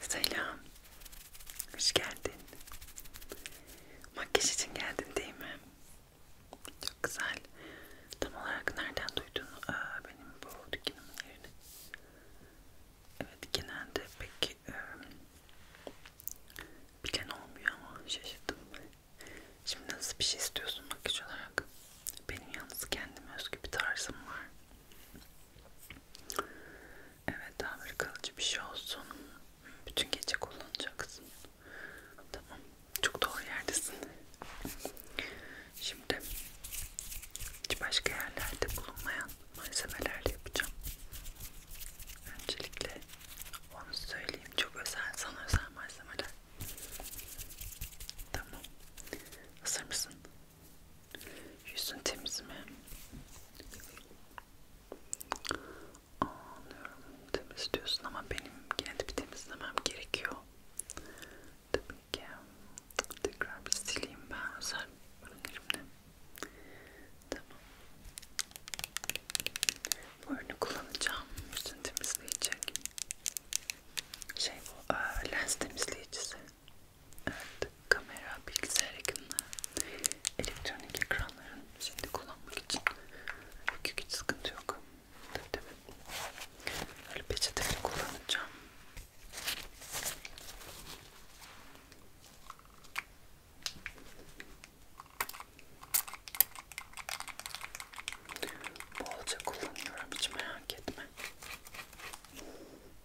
Selam. Hoş geldin. Makyaj için geldin değil mi? Çok güzel. Tam olarak nereden duydun Aa, benim bu dükkanımın yerini? Evet genelde pek e, bilen olmuyor ama şaşırdım. Şimdi nasıl bir şey istiyorsun makyaj olarak? Benim yalnız kendime özgü bir tarzım var. Evet tamir kalıcı bir şey olsun. Bütün gece kullanacaksın. Tamam. Çok doğru yerdesin. Şimdi başka yerlerde bulunmayan malzemelerle yapacağım. Öncelikle onu söyleyeyim. Çok özel sana özel malzemeler. Tamam. Hazır mısın? Yüzün temiz mi? Anlıyorum temiz diyorsun ama benim yine de bir temizlemem gerekiyor. Tabii ki tekrar bir sileyim ben özel ürünlerimle. Tamam. Bu ürünü kullanacağım. Yüzünü temizleyecek. Şey bu, e, lens temizleyicisi. Evet, kamera, bilgisayar ekranı, elektronik ekranların şimdi kullanmak için küçük hiç sıkıntı yok. Tabii tabii. Böyle peçeteleri kullanacağım. Bolca kullanıyorum hiç merak etme.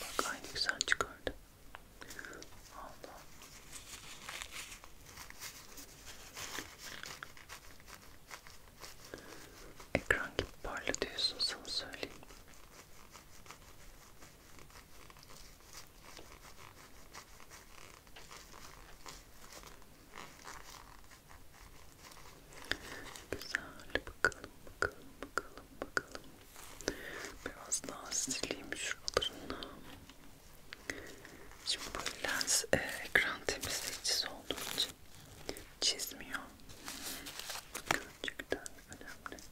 Bak aynı güzel çıkardı. Allah. Ekran gibi parlatıyorsun sana söyleyeyim. Güzel bakalım bakalım bakalım bakalım. Biraz daha sileyim şuralarını. Şimdi bu lens e, ekran temizleyicisi olduğu için çizmiyor. Gerçekten önemli.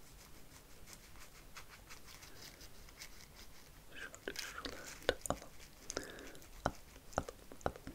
Şöyle şuraları da alalım. Alalım, alalım.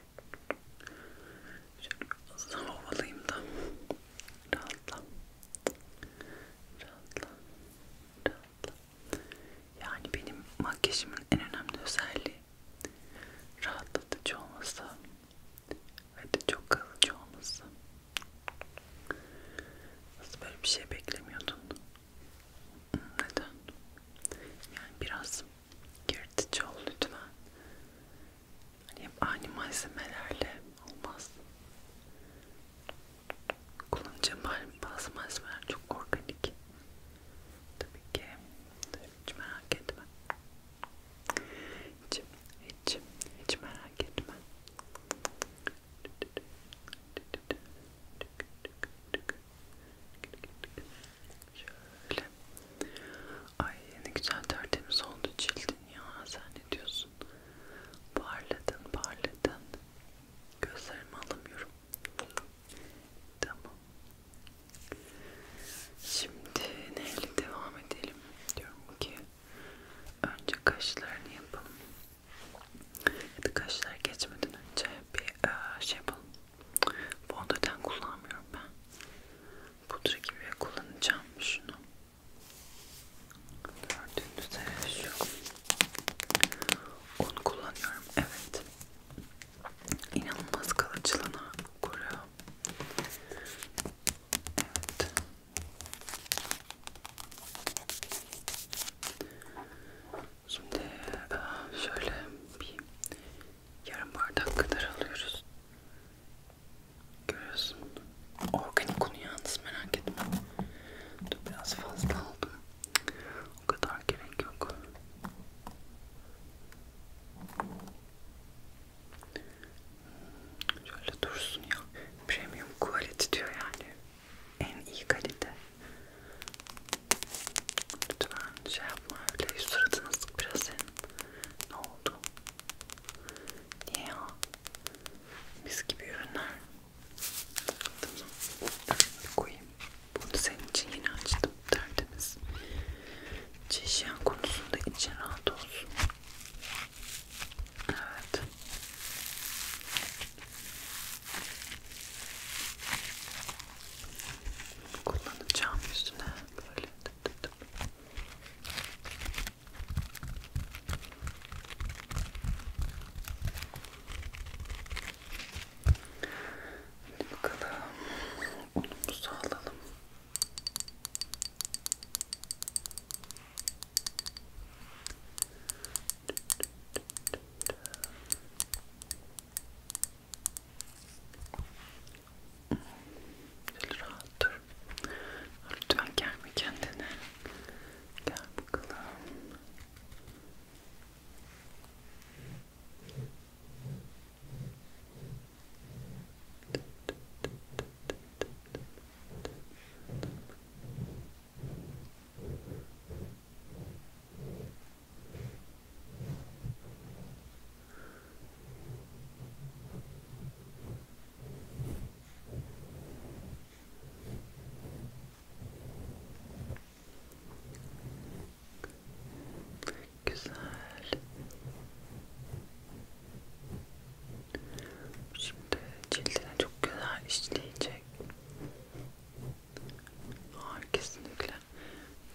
Şöyle sana ovalayayım da rahatla. Rahatla. Rahatla. Yani benim makyajımın en önemli özelliği rahatlatıcı olması ve çok kalıcı olması. Nasıl böyle bir şey beklemiyordun? Neden? Yani biraz yırtıcı ol lütfen. Hani hep aynı malzemelerle olmaz. Kullanacağım bazı malzemeler çok organik. Tabii ki hiç merak etme. Hiç, hiç, hiç merak etme. Şöyle. Ay ne güzel tertemiz oldu cildin ya. Sen ne diyorsun? Parladın parladın. Gözlerimi alamıyorum. Tamam. Şimdi neyle devam edelim? Diyorum ki önce kaşlarını yapalım. Ya da kaşlar geçmeden önce bir şey yapalım. Fondöten kullanmıyorum ben. Pudra gibi kullanacağım şunu. Gördüğünüz üzere şu. Onu kullanıyorum. Evet. İnanılmaz kalıcılığına koruyor. Evet. Şimdi ah, şöyle bir yarım bardak kadar alıyoruz. Görüyorsun. Organik unu yalnız merak etme. Dur biraz fazla aldım. O kadar gerek yok. Şöyle dursun ya. Premium quality diyor yani. En iyi kalite. Lütfen şey yapma öyle suratını sık biraz senin. Ne oldu? Niye ya? Mis gibi ürünler. Bir koyayım. Bunu senin için yeni açtım. Tertemiz. Çeşiyen konusunda için rahat olsun. Evet kullanacağım üstüne böyle tıp tıp tıp. Hadi bakalım unumuzu alalım. Şöyle Böyle rahat dur. Lütfen gelme kendine. Gel bakalım. Tamam. Güzel. Şimdi cildine çok güzel işleyecek. Hayır kesinlikle.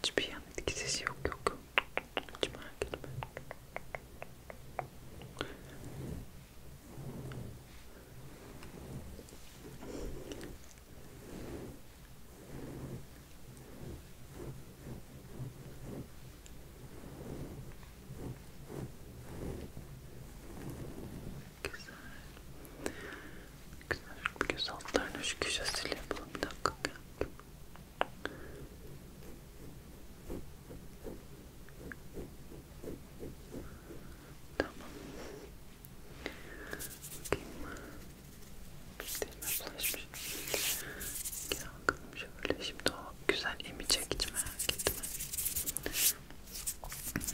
Hiçbir yan etkisi yok yok. Hiç merak etme. Güzel. Güzel. Göz altlarına şu köşesiyle yapalım. Bir dakika. Gel. Tamam. Bakayım. Derime bulaşmış. Gel bakalım şöyle. Şimdi o güzel emi çekicime gitme.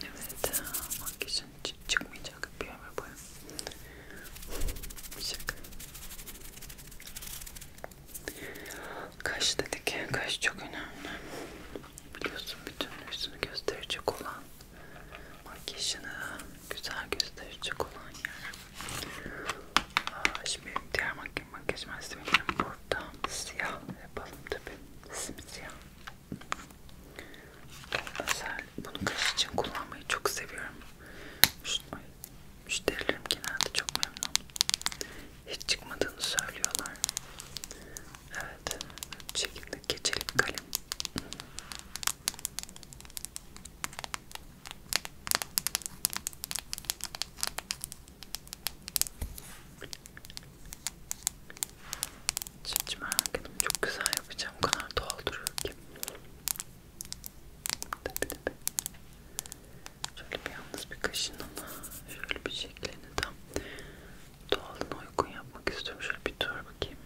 Evet. Makyaj için çıkmayacak bir ömür boyu. Şaka. Kaş dedik ya, kaş çok önemli. Biliyorsun bütün yüzünü gösterecek olan, makyajını güzel gösterecek olan yer. Aa, şimdi diğer makyaj malzemelerim burada. Siyah yapalım tabi. Simsiyah özel bunu kaş için kullanmayı çok seviyorum Ay, müşterilerim genelde çok memnun hiç çıkmadığını söylüyorlar evet şekilde geçelim kalem hiç merak ettim. Çok güzel yapacağım. O kadar doğal duruyor ki. Tabii tabii. Şöyle bir yalnız bir kaşını şöyle bir şeklini tam doğalına uygun yapmak istiyorum. Şöyle bir dur bakayım.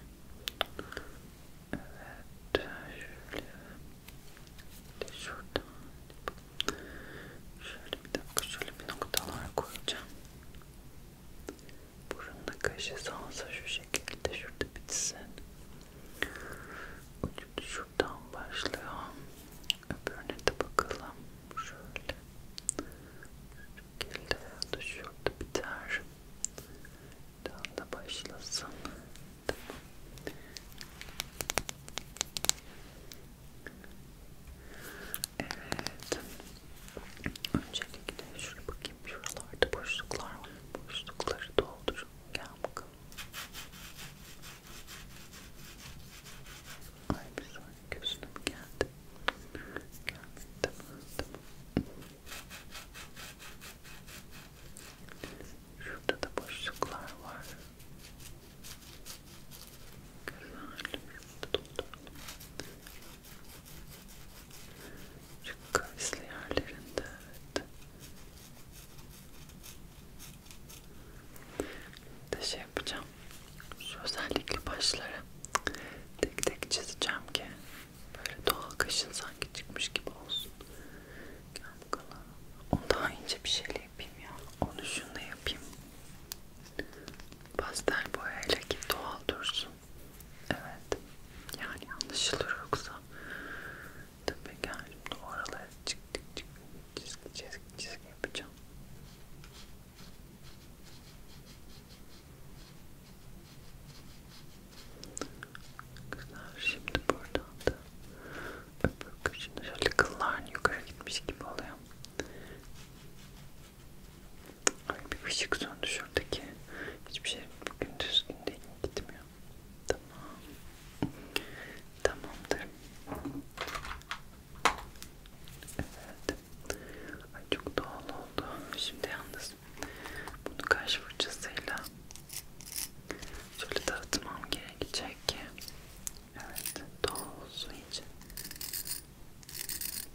Evet. Şöyle. De şuradan. Şöyle bir dakika. Şöyle bir noktalar koyacağım burunla kaşesi olsa şu şekilde şurada bitsin ucu şuradan başlıyor öbürüne de bakalım şöyle şu şekilde ya da şurada biter buradan da başlasın tamam Evet. Öncelikle şöyle bakayım şuralarda boşluklar var. Boşlukları doldurun. Gel bakalım. Ay bir saniye gözüne mi geldi? Gelmedi tamam tamam. Şurada da boşluklar var. Güzel. Şurada dolduralım. Çok kavisli yerlerinde evet. Bir de şey yapacağım. Şu özellikle başları tek tek çizeceğim ki böyle doğal kaşın sanki çıkmış gibi olsun. Gel bakalım. Onu daha ince bir şeyle yapayım ya. Onu şunu yapayım. Pastel boyayla ki doğal dursun. Evet. Yani anlaşılır yoksa tabii geldim de oralara çık çık çık çizgi çizgi çizgi yapacağım. Güzel. Şimdi buradan da öbür köşede şöyle kılların yukarı gitmiş gibi oluyor. Ay bir ışık söndü şuradaki. Hiçbir şey bugün düzgün değil gitmiyor. Tamam. Tamamdır. Evet. Ay çok doğal oldu. Şimdi yalnız bunu kaş fırçasıyla şöyle dağıtmam gerekecek ki evet doğal olsun iyice.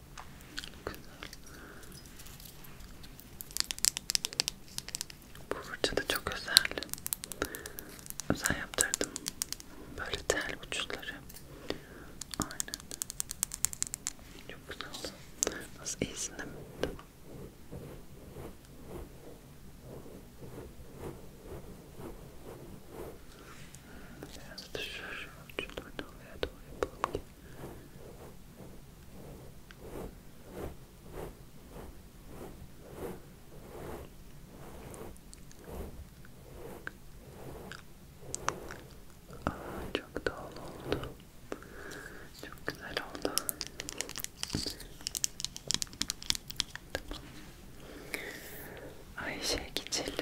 Güzel. Bu fırça da çok özel. Özel yaptırdım. Böyle tel uçları. Aynen. Çok güzel oldu. Nasıl iyisin değil mi? Biraz da şu ucundan oraya doğru yapalım ki Aa, çok doğal oldu. Çok güzel oldu. Tamam. Ayşe geçelim.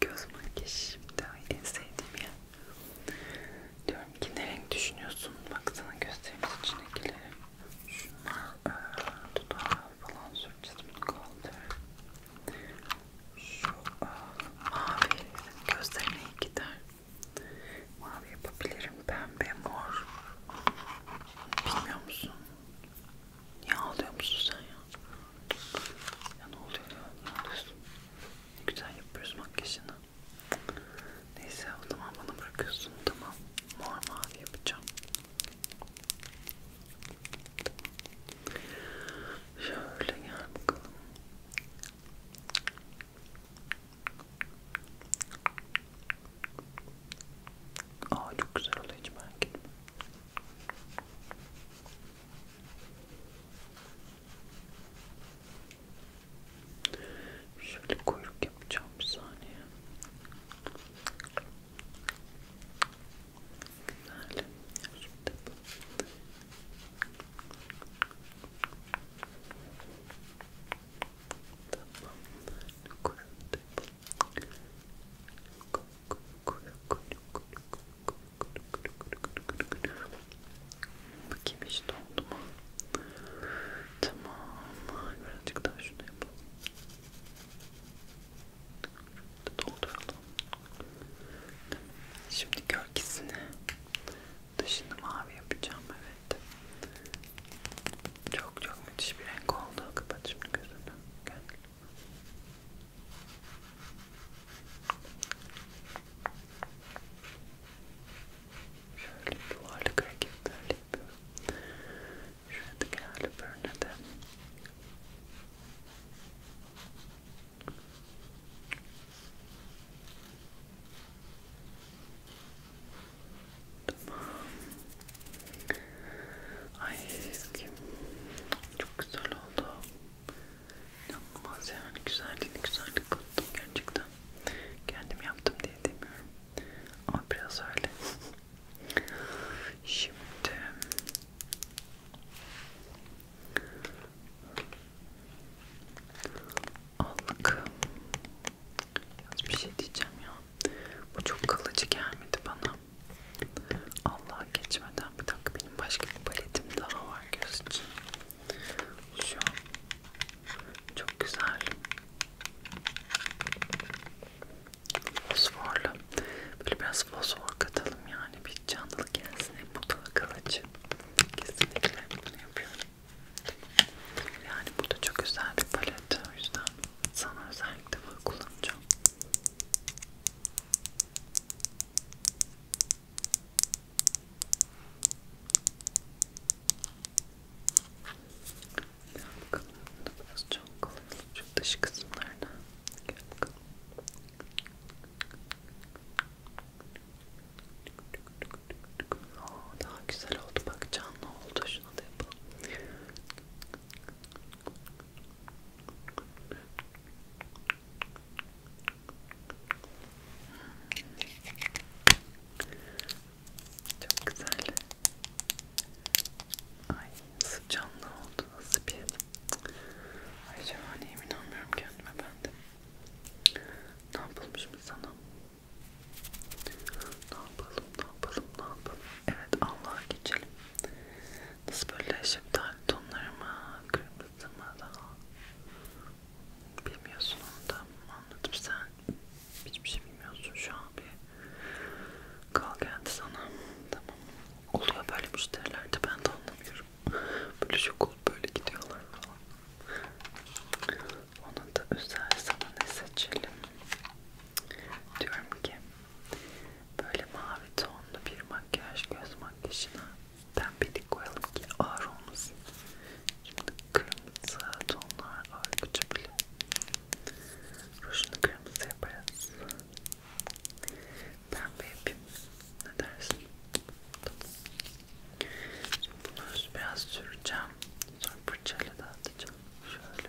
Göz makyajı şimdi en sevdiğim ya. Diyorum ki ne renk düşünüyorsun? Baksana gösterimiz içindekileri. Şunlar e, dudağı falan süreceğim kaldı. Şu e, mavi gözlerine iyi gider. Mavi yapabilirim. Pembe, mor. Bilmiyor musun? Niye ağlıyor musun sen ya? Ya ne oluyor ya? Ne oluyorsun? Güzel yapıyoruz makyajını. Neyse o zaman bana bırakıyorsun tamam. Mor mavi yapacağım. Şöyle gel bakalım. Aa çok güzel oldu hiç merak etme. Şöyle kuyruk yapacağım bir saniye. Güzel. Şimdi bu. Tamam. Kuyruk da yapalım. Bakayım işte oldu mu? Tamam. Birazcık daha şunu yapalım. Dolduralım. Şimdi gölgesini dışını mavi yapacağım evet. Çok çok müthiş bir renk oldu. Kapat şimdi gözünü. Gel. Şöyle yuvarlak hareketler yapıyorum. Şuradaki halüpörüne de Tamam. Ay, çok güzel oldu. İnanılmaz yani güzelliğini güzellik kattım gerçekten. Kendim yaptım diye demiyorum. Ama biraz öyle. Şimdi allık biraz bir şey diyeceğim ya. Bu çok kalıcı gelmedi bana. Allah geçmeden bir dakika benim başka bir paletim daha var göz için. Şu çok güzel. Fosforlu. Böyle biraz fosfor katalım yani bir canlılık gelsin. Hem mutlu kalıcı. Kesinlikle bunu yapıyorum. Yani bu da çok özel bir palet. O yüzden sana özellikle bunu kullanacağım. Bakalım burası çok kolay şu dış kısımlarına gel bakalım. Oo, daha güzel oldu bak canlı oldu şuna da yapalım. Çok güzel. Ay nasıl canlı oldu, nasıl bir... Ay şahaneyim, inanmıyorum kendime ben de. Ne yapılmış mı sana? Ne yapalım, ne yapalım, ne yapalım? Evet, Allah'a geçelim. Nasıl böyle şeftali tonları mı? Kırmızı mı daha? Bilmiyorsun onu da anladım sen. Hiçbir şey bilmiyorsun şu an bir. Kal geldi sana. Tamam. Oluyor böyle müşterilerde ben de anlamıyorum. Böyle şok olup böyle gidiyorlar falan. Onun da özel sana ne seçelim? diyorum ki böyle mavi tonlu bir makyaj göz makyajına pembelik koyalım ki ağır olmasın. Şimdi kırmızı tonlar ağır bile. Rujunu kırmızı yaparız. Pembe yapayım. Ne dersin? Şimdi bunu biraz süreceğim. Sonra fırçayla dağıtacağım. Şöyle.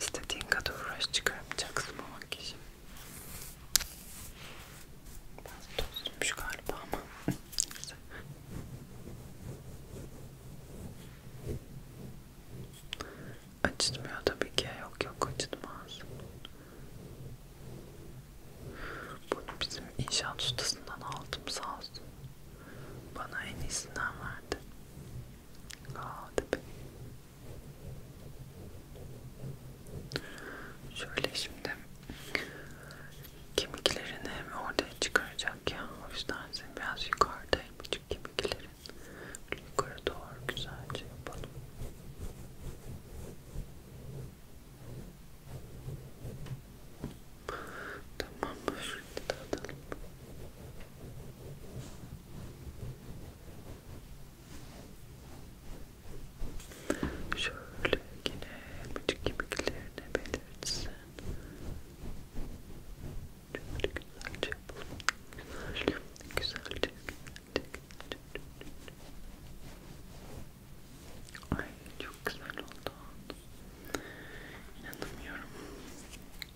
İstediğin kadar uğraş çıkarmayacaksın bu makyajı. Biraz tozluymuş galiba ama. Acıtmıyor tabii ki. Yok yok acıtmaz. Bunu bizim inşaat ustasından aldım sağ olsun. Bana en iyisinden verdi. Aa, Şöyle şimdi kemiklerini hem ortaya çıkaracak ya. O yüzden seni biraz yukarıdayım. Küçük kemiklerin yukarı doğru güzelce yapalım. Tamam, şurada da atalım. Şöyle yine bütün kemiklerine belirtsin. Şöyle güzelce yapalım. Güzelce, güzelce, güzelce, güzelce. Ay çok güzel oldu. İnanamıyorum.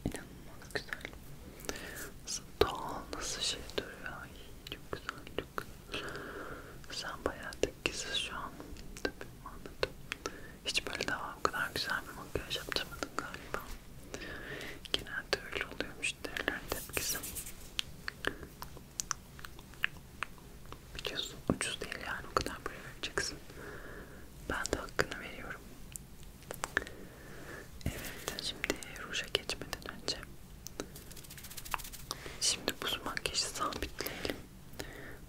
İnanılmaz güzel. Nasıl doğal, nasıl şey duruyor. Ay, çok güzel, çok güzel. Sen bayağı tekkisiz şu an. Tabii anladım. Hiç böyle daha o kadar güzel bir makyaj yaptırmadın galiba. Genelde öyle oluyormuş derler tepkisi. Biliyorsun ucuz değil yani o kadar para vereceksin. Ben de hakkını veriyorum. Evet şimdi ruja geçmeden önce Şimdi bu makyajı sabitleyelim.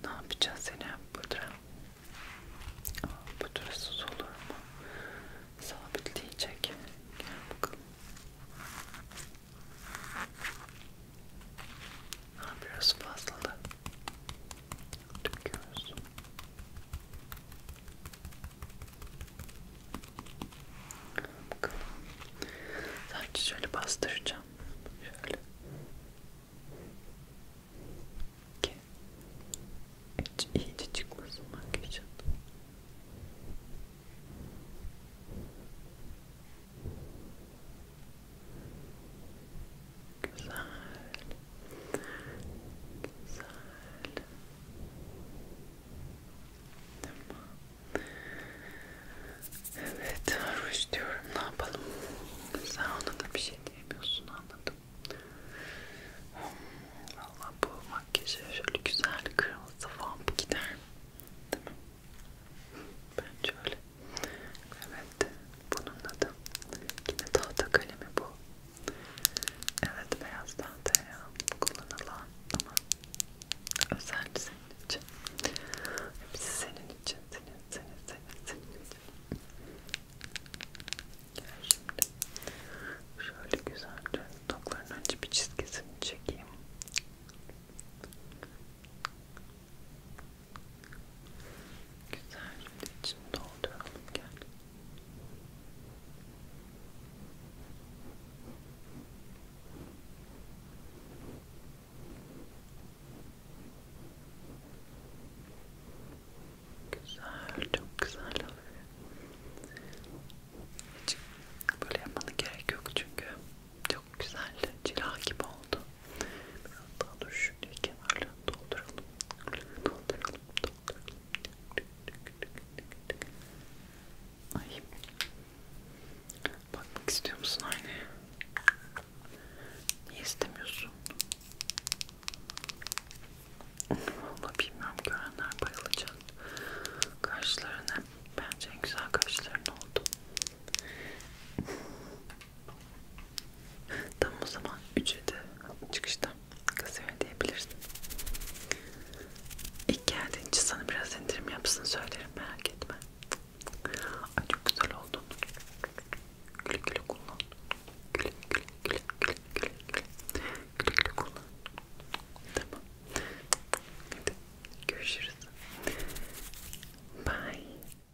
Ne yapacağız yine pudra? Pudrasız olur mu? Sabitleyecek. Gel bakalım. Ha, biraz fazla da I'm curious. Bakalım. Sadece şöyle bastıracağım. Şöyle. Ki hiç iyice çıkmasın makyajın. Güzel. Güzel. Tamam. Evet, hoş diyorum. Ne yapalım? Sen ona da bir şey diyemiyorsun anladım. Valla bu makyajı şöyle güzel kırmızı vamp gider. Değil mi? Bence öyle. Evet bunun adı. Yine tahta kalemi bu. Evet beyaz tahtaya kullanılan ama özel senin için. Hepsi senin için, senin, senin, senin, senin için. Gel şimdi. Şöyle güzelce tokların önce bir çizgisini çekeyim. Güzel şimdi içini dolduralım gel. Güzel, çok güzel oluyor. Hiç böyle yapmanın gerek yok çünkü çok güzel, cila gibi oldu. Biraz daha dur şöyle kenarlarını dolduralım. Dolduralım, dolduralım. Ay. Bakmak istiyor musun aynaya? Niye istemiyorsun? Vallahi bilmiyorum görenler bayılacak. Kaşlarına bence en güzel kaşların oldu. Tam o zaman ücreti çıkışta kasaya diyebilirsin. İlk geldiğin için sana biraz indirim yapsın söylerim merak etme. Ay çok güzel oldun. Güle güle kullan. Güle güle güle güle güle güle. Güle güle kullan. Tamam. Hadi görüşürüz. Bye.